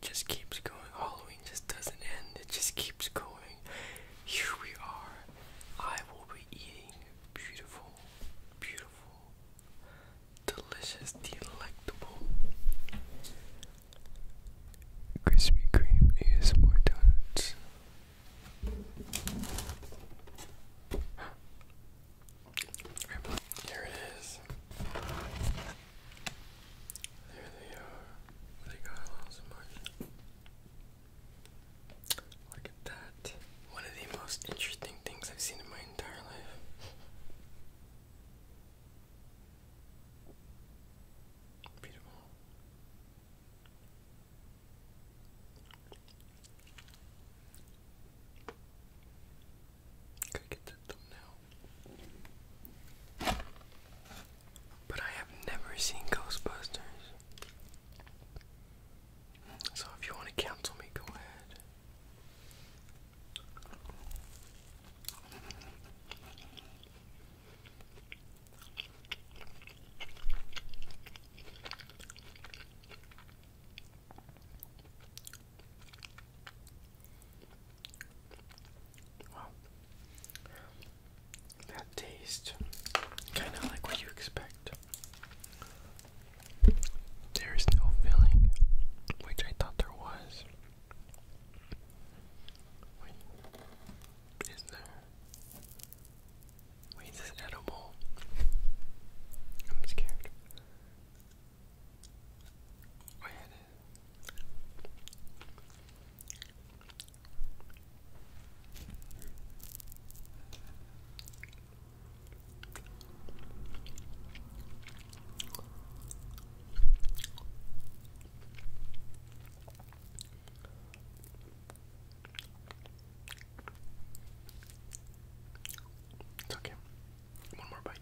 just keeps going. Halloween just doesn't end. It just keeps going. Here we are. I will be eating beautiful, beautiful, delicious, delectable Krispy Kreme ASMR donuts. Here it is. There they are. They got a Look at that. One of the most interesting things I've seen in my entire life. Beautiful. Gotta get that but I have never seen Ghostbusters. So if you want to cancel me, go ahead. Wow. That tastes kind of like what you expect. There is no filling, which I thought there was. Wait, is there? Wait, is this edible? I'm scared. Oh, yeah, It's okay. One more bite.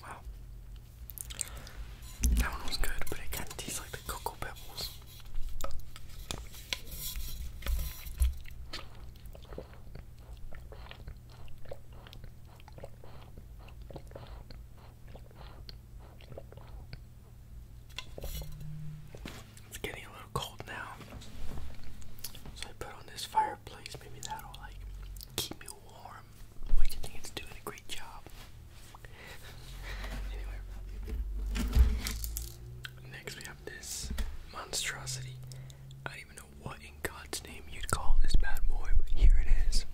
Wow. That one was good, but it kind of tastes like the cocoa pebbles. It's getting a little cold now. So I put on this fireplace, maybe that'll like keep me warm, which I think it's doing a great job. anyway. Next we have this monstrosity. I don't even know what in God's name you'd call this bad boy, but here it is.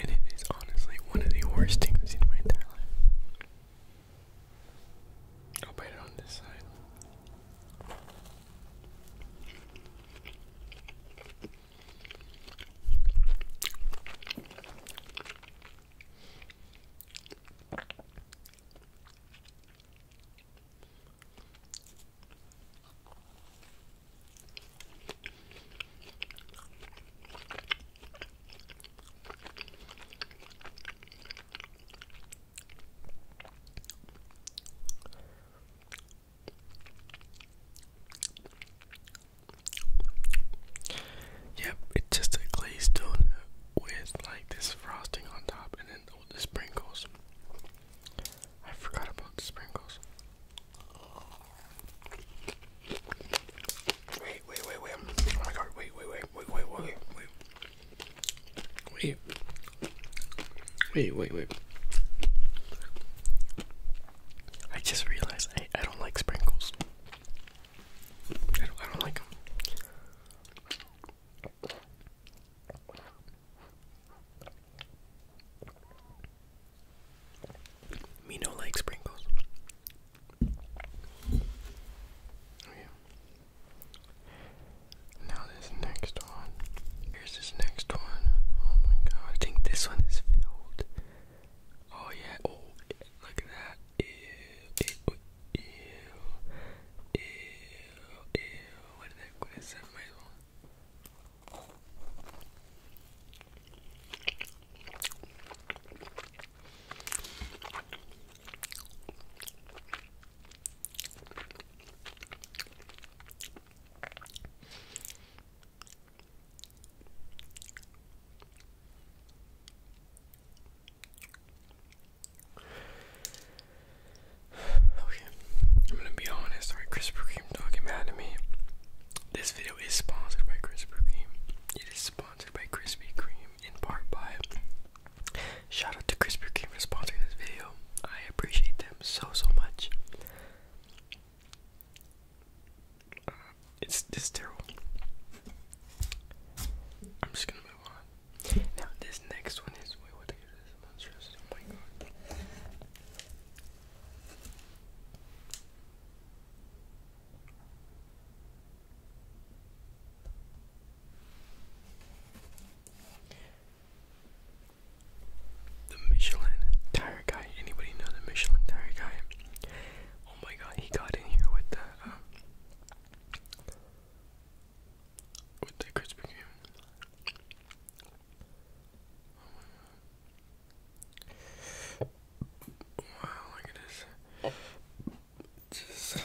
And it is honestly one of the worst things in my entire life. I'll bite it on this side. Yep, it's just a glazed donut with like this frosting on top and then all the sprinkles. I forgot about the sprinkles. Wait, wait, wait, wait. Oh my god, wait, wait, wait, wait, wait, wait, wait. Wait. Wait, wait, wait. I just realized I, I don't like sprinkles. I don't, I don't like them. Me no like sprinkles. Oh, now this next one. Here's this next one. Oh my god. I think this one is filled. Oh yeah. Oh look at that. Ew. Ew. Ew. Ew. Ew. What is that? Okay, I'm gonna be honest. All right, Krispy Kreme talking bad to me. This video is sponsored by Krispy Kreme. It is sponsored by Krispy Kreme in part by. Shout out to Krispy Kreme for sponsoring this video. I appreciate them so so much. it's this terrible. I'm just gonna move on. Now this next one is the Michelin tire guy. Anybody know the Michelin tire guy? Oh my god, he got in here with the um, with the Krispy Oh my Wow, look at this. Just.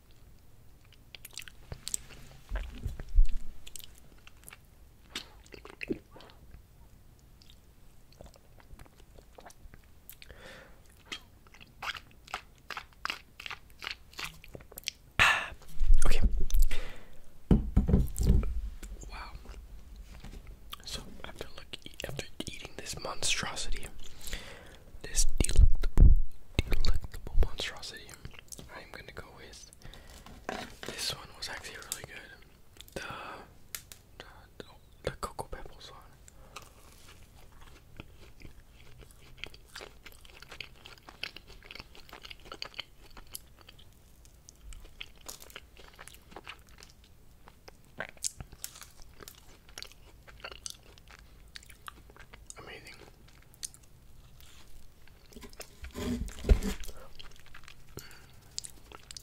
okay. Wow. So after look, after eating this monstrosity, this delectable, delectable monstrosity. I'm gonna go with this one was actually really good. The the, the cocoa pebbles one. Amazing.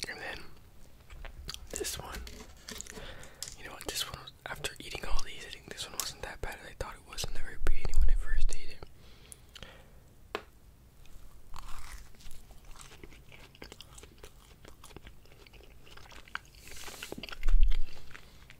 And then this one. You know what? This one, was, after eating all these, this one wasn't that bad as I thought it was in the very beginning when I first ate it.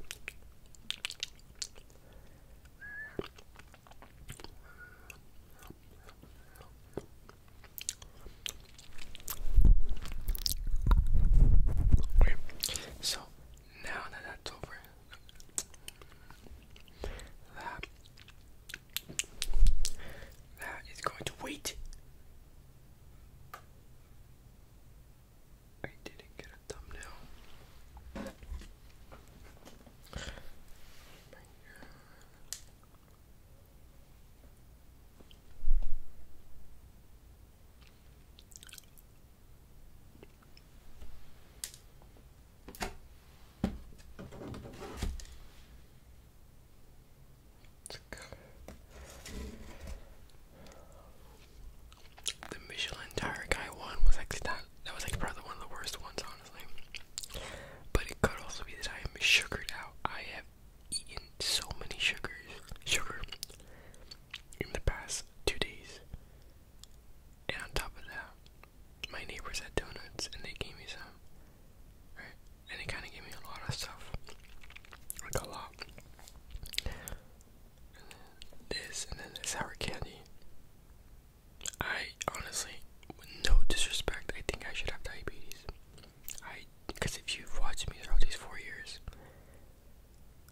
Okay, so now that that's over, that is going to wait. I didn't get a thumbnail. The Michelin tire guy one was like that. That was like probably one of the worst ones, honestly. But it could also be that I am sugared out. I have eaten so many sugars, sugar, in the past two days, and on top of that, my neighbors had donuts and they gave me some. Right? And they kind of gave me a lot of stuff. Like a lot. And then this, and then the sour candy. I honestly, with no disrespect, I think I should have diabetes. I, because if you've watched me throughout these four years,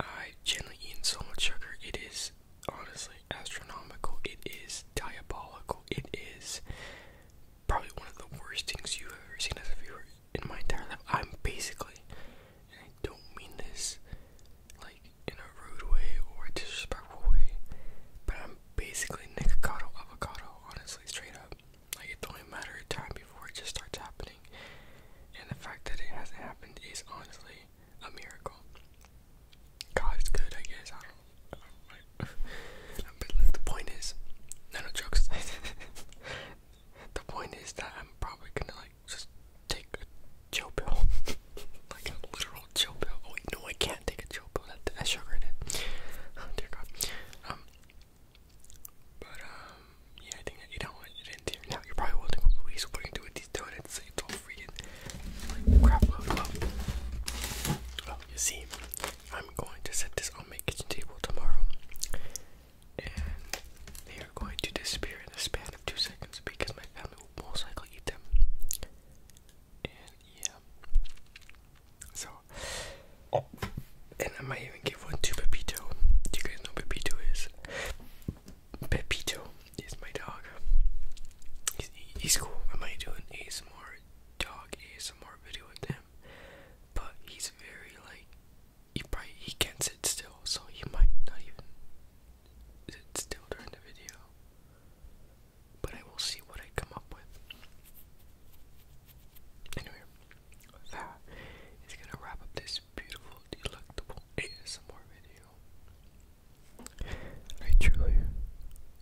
I've generally eaten so much sugar, it is honestly astronomical, it is diabolical, it is probably one of the worst things you've ever seen as a viewer in my entire life. I'm basically, and I don't mean this like in a rude way or a disrespectful way, but I'm basically Nikocado avocado, honestly, straight up. Like it's only a matter of time before it just starts happening. And the fact that it hasn't happened is honestly a miracle. God is good, I guess the point is, no, jokes. the point is that I'm probably gonna like just take a chill pill, like a literal chill pill. Oh wait, no, I can't take a chill pill. That I sugared it. Oh dear God. Um, but um, yeah, I think you don't want it in there. Now you're probably wondering what Luis is going with these donuts. It's all freaking like crap load you see, I'm going to set this on my kitchen table tomorrow. And they are going to disappear in a span of two seconds because my family will most likely eat them. And yeah. So oh. and I might even give one to Pepito. Do you guys know Pepito is? Pepito is my dog. He's, he's cool. I might do an more dog more video with him, but he's very like he probably he can't sit still, so he might not even sit still during the video. But I will see what I come up with. Anyway, that is gonna wrap up this beautiful, delectable ASMR video. I truly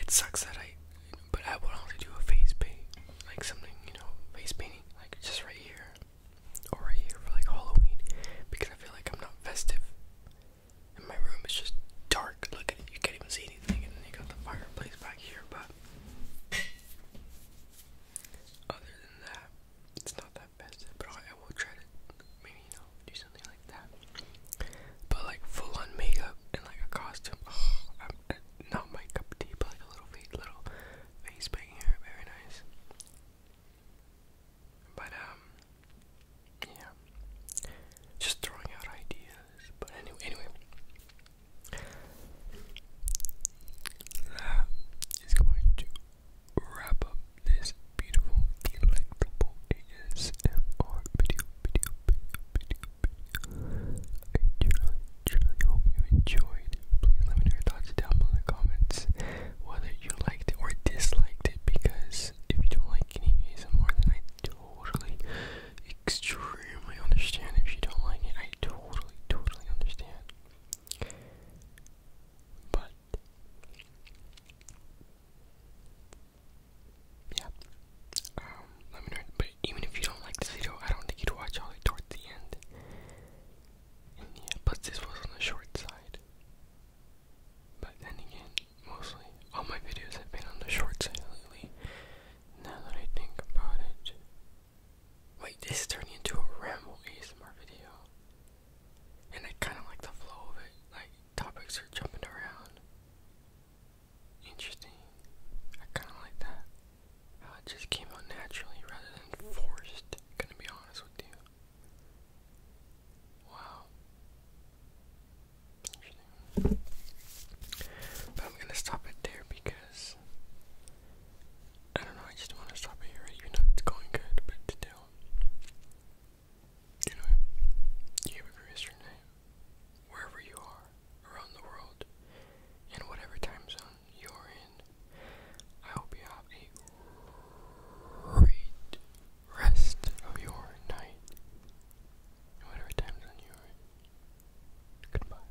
it sucks that I, but I would only do a face paint, like something, you know, face painting, like just right here, or right here for like Halloween, because I feel like I'm not festive. And my room, is just dark. Look at it, you can't even see anything, and then you got the fireplace back here, but other than that, it's not that festive. But I will try to do something like that. But like full on makeup and like a costume, I'm, uh, not my cup but like a little fake little face paint here, very nice. But um, yeah, just throwing out ideas. But anyway, anyway. That is going to wrap up this beautiful delectable ASMR video, video, video, video, video. I truly, truly hope you enjoyed. Please let me know your thoughts down below in the comments whether you liked or disliked it because if you don't like any ASMR then I totally, extremely understand if you don't like it. I totally, totally understand. But yeah. Um, let me know. But even if you don't like this video, I don't think you'd watch all the way towards the end. yeah, but this was on the short side. But then again, mostly all my videos have been on the short side lately. Now that I think about it. Wait, this is turning into a ramble ASMR video. And I kinda like the flow of it. Like topics are jumping around. Interesting. I kind of like that. How it just came out naturally rather than forced. Gonna be honest with you. Wow. Interesting. But I'm gonna stop it there because I don't know. I just want to stop it here, even though it's going good, but still. You know, you have a name, wherever you are, around the world, in whatever time zone you're in. I hope you have a great rest of your night, whatever time zone you're in. Goodbye.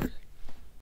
Sorry.